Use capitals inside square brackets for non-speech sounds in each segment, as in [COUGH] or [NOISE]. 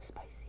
Spicy.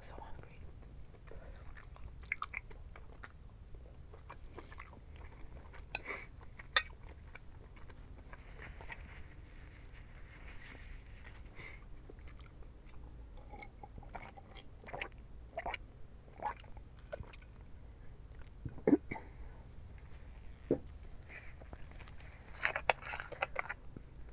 So hungry.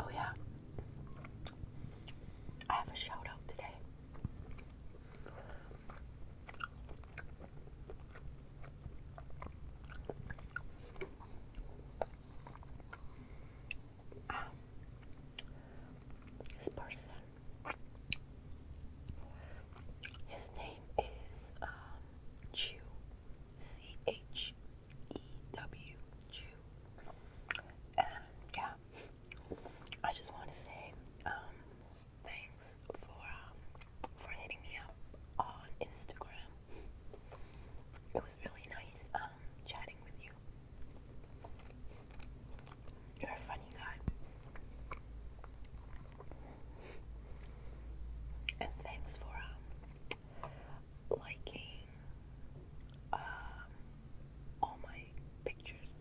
Oh, yeah. I have a shout out today. Um, this person, his name is uh, Chew, C H E W And um, yeah, I just want to say um, thanks for um, for hitting me up on Instagram. It was really nice um, chatting with you. You're a funny guy. And thanks for um, liking um, all my pictures.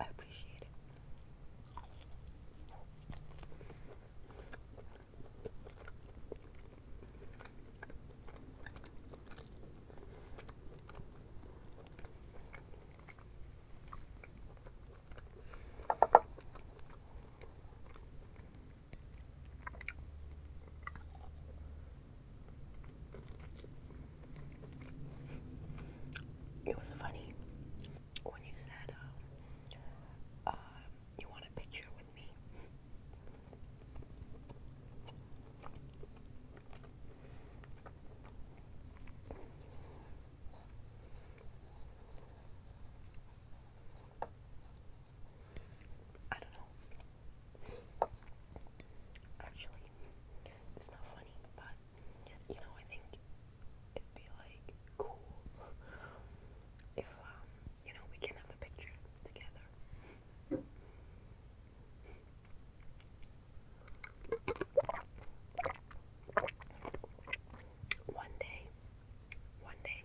I appreciate it. It was funny when you said, um, uh, you want a picture with me? I don't know. Actually, it's not funny, but you know, I think it'd be like cool if, um, you know, we can have a picture together. One day. One day.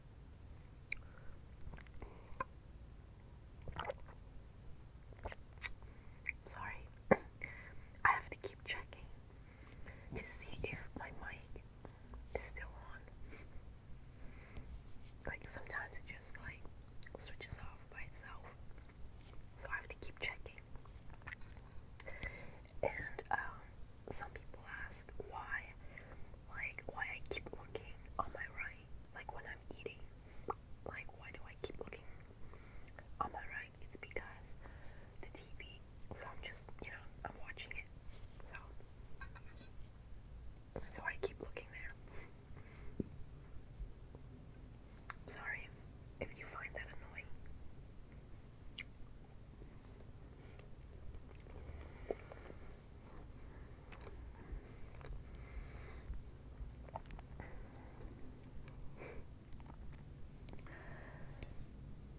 Sorry, [CLEARS THROAT] I have to keep checking to see if my mic is still on. Like sometimes it just like switches off by itself, so I have to keep checking. And um, some people ask why, like why I keep looking on my right like when I'm eating. Like, why do I keep looking on my right? It's because the TV. So I'm just, you know, I'm watching it. So that's why I keep looking there. Sorry if you find that annoying.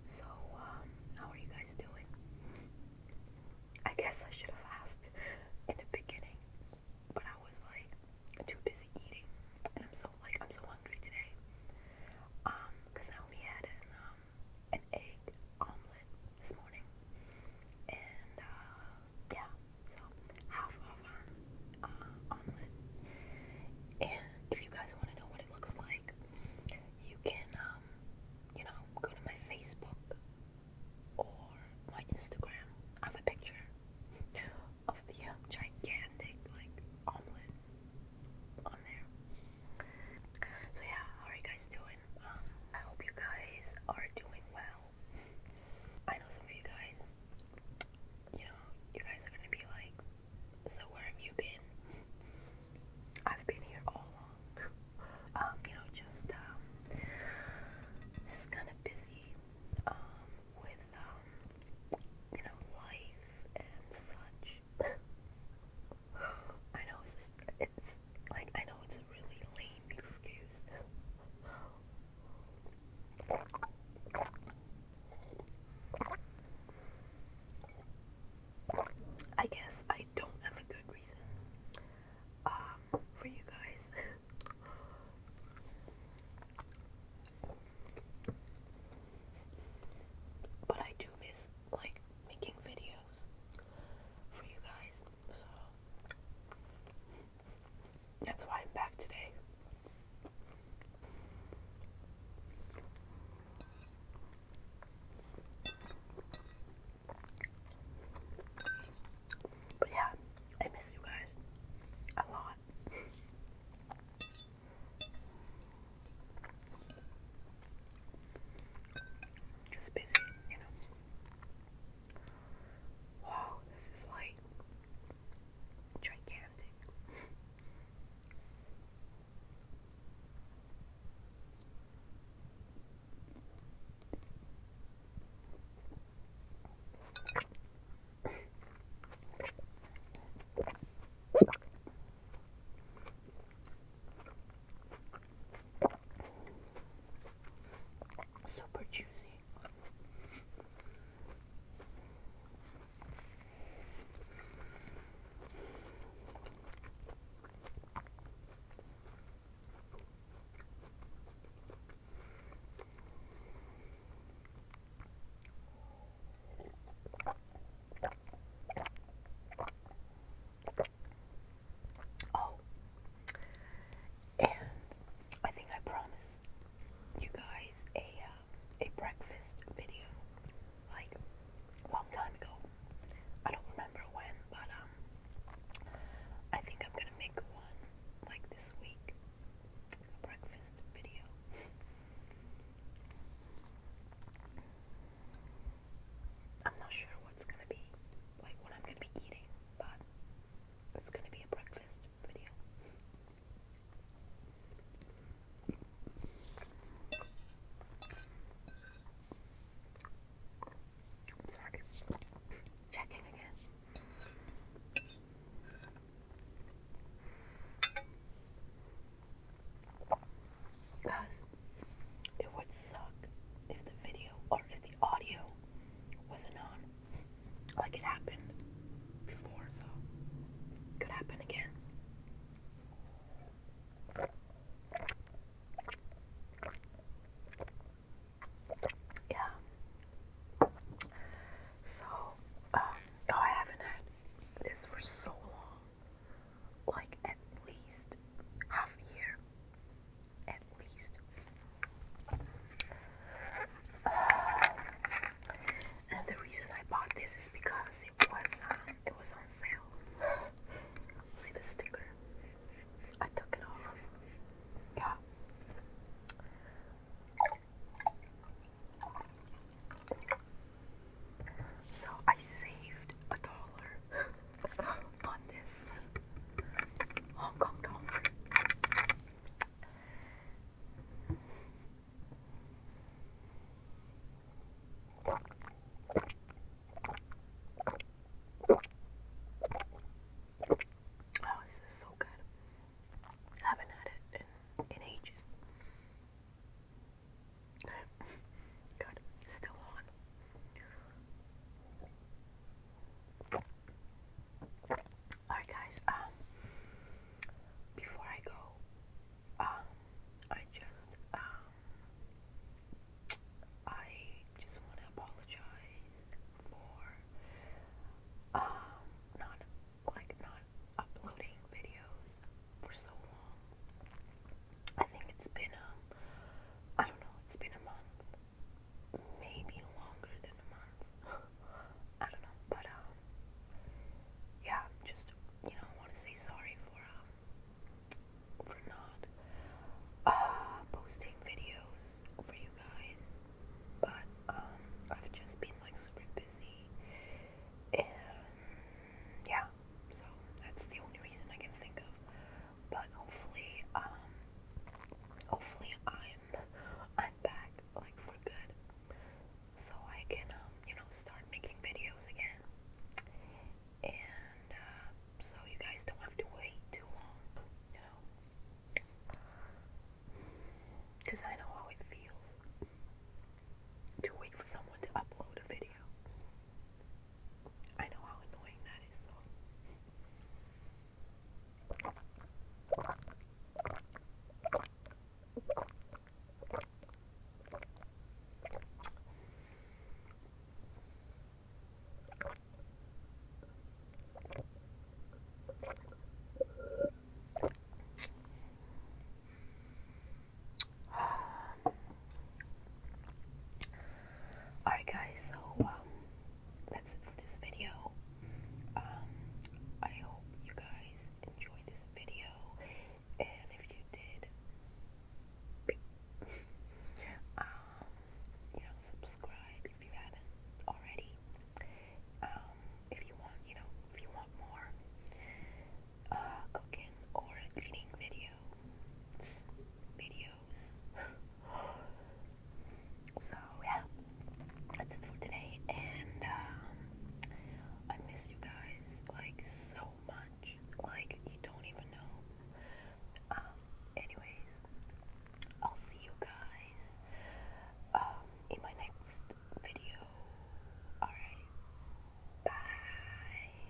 So, um, how are you guys doing? I guess I should have asked in the beginning, but I was like too busy eating, and I'm so like I'm so hungry today. Um, cause I only had an um, egg omelet this morning, and uh, yeah, so half of an um, uh, omelet. And if you guys want to know what it looks like, you can, um, you know, go to my Facebook or my Instagram. I have a picture of the uh, gigantic like omelet on there. So yeah, how are you guys doing? Um, I hope you guys are doing well. I know some of you guys, you know, you guys are gonna be like, so where have you been? I've been here all along. [LAUGHS] Um, you know, just um, just kind of busy with you know, life and such. [LAUGHS] I know it's just, it's like I know it's really late excuse. I guess I don't have a good reason um, for you guys. [LAUGHS] but I do miss like making videos for you guys. So that's why I'm back today. But yeah, I miss you guys a lot. [LAUGHS] Just busy, you know. Wow, this is like gigantic. Super juicy. Oh, and I think I promised you guys a uh, a breakfast video like a long time ago. I don't remember when, but um, I think I'm gonna make one like this week, a breakfast video. I'm not sure what's gonna be like what I'm gonna be eating, but it's gonna be a breakfast video. sorry. Checking again. Guys, it would suck if the video or if the audio wasn't on. Like it happened before, so could happen again. Yeah. So, um, oh, I haven't had this for so long. Like at least half a year at least. [SIGHS] And the reason I bought this is because it was um, it was on sale. [GASPS] See the sticker? I took it off. Yeah. So I saved a dollar [LAUGHS] on this Hong Kong dong. Oh, this is so good. haven't had it in ages. [LAUGHS] Good. Still on. Alright, guys. Um, before I go, um, I just um, I just want to apologize for um not like not uploading videos for so long. I think it's been um I don't know, it's been a month. Maybe longer than a month. [LAUGHS] I don't know, but um yeah, just you know, I want to say sorry for um for not uh posting videos for you guys. But um I've just been like super busy and yeah, so that's the only reason I can think of but hopefully, um, hopefully I'm I'm back like for good, so I can um, you know start making videos again. And uh, so you guys don't have to wait too long, you know, because I know how it feels to wait for someone to upload a video. I know how annoying that is, So. [SIGHS] Alright, guys, so um, that's it for this video. Um, I hope you guys enjoyed this video, and if you did, [LAUGHS] um, you know, subscribe if you haven't already. Um, if you want, you know, if you want more uh, cooking or eating videos videos. [LAUGHS] so yeah, that's it for today, and um, I miss you guys like so much. Like you don't even know. Um, anyways, I'll see you guys um, in my next video. Alright, bye.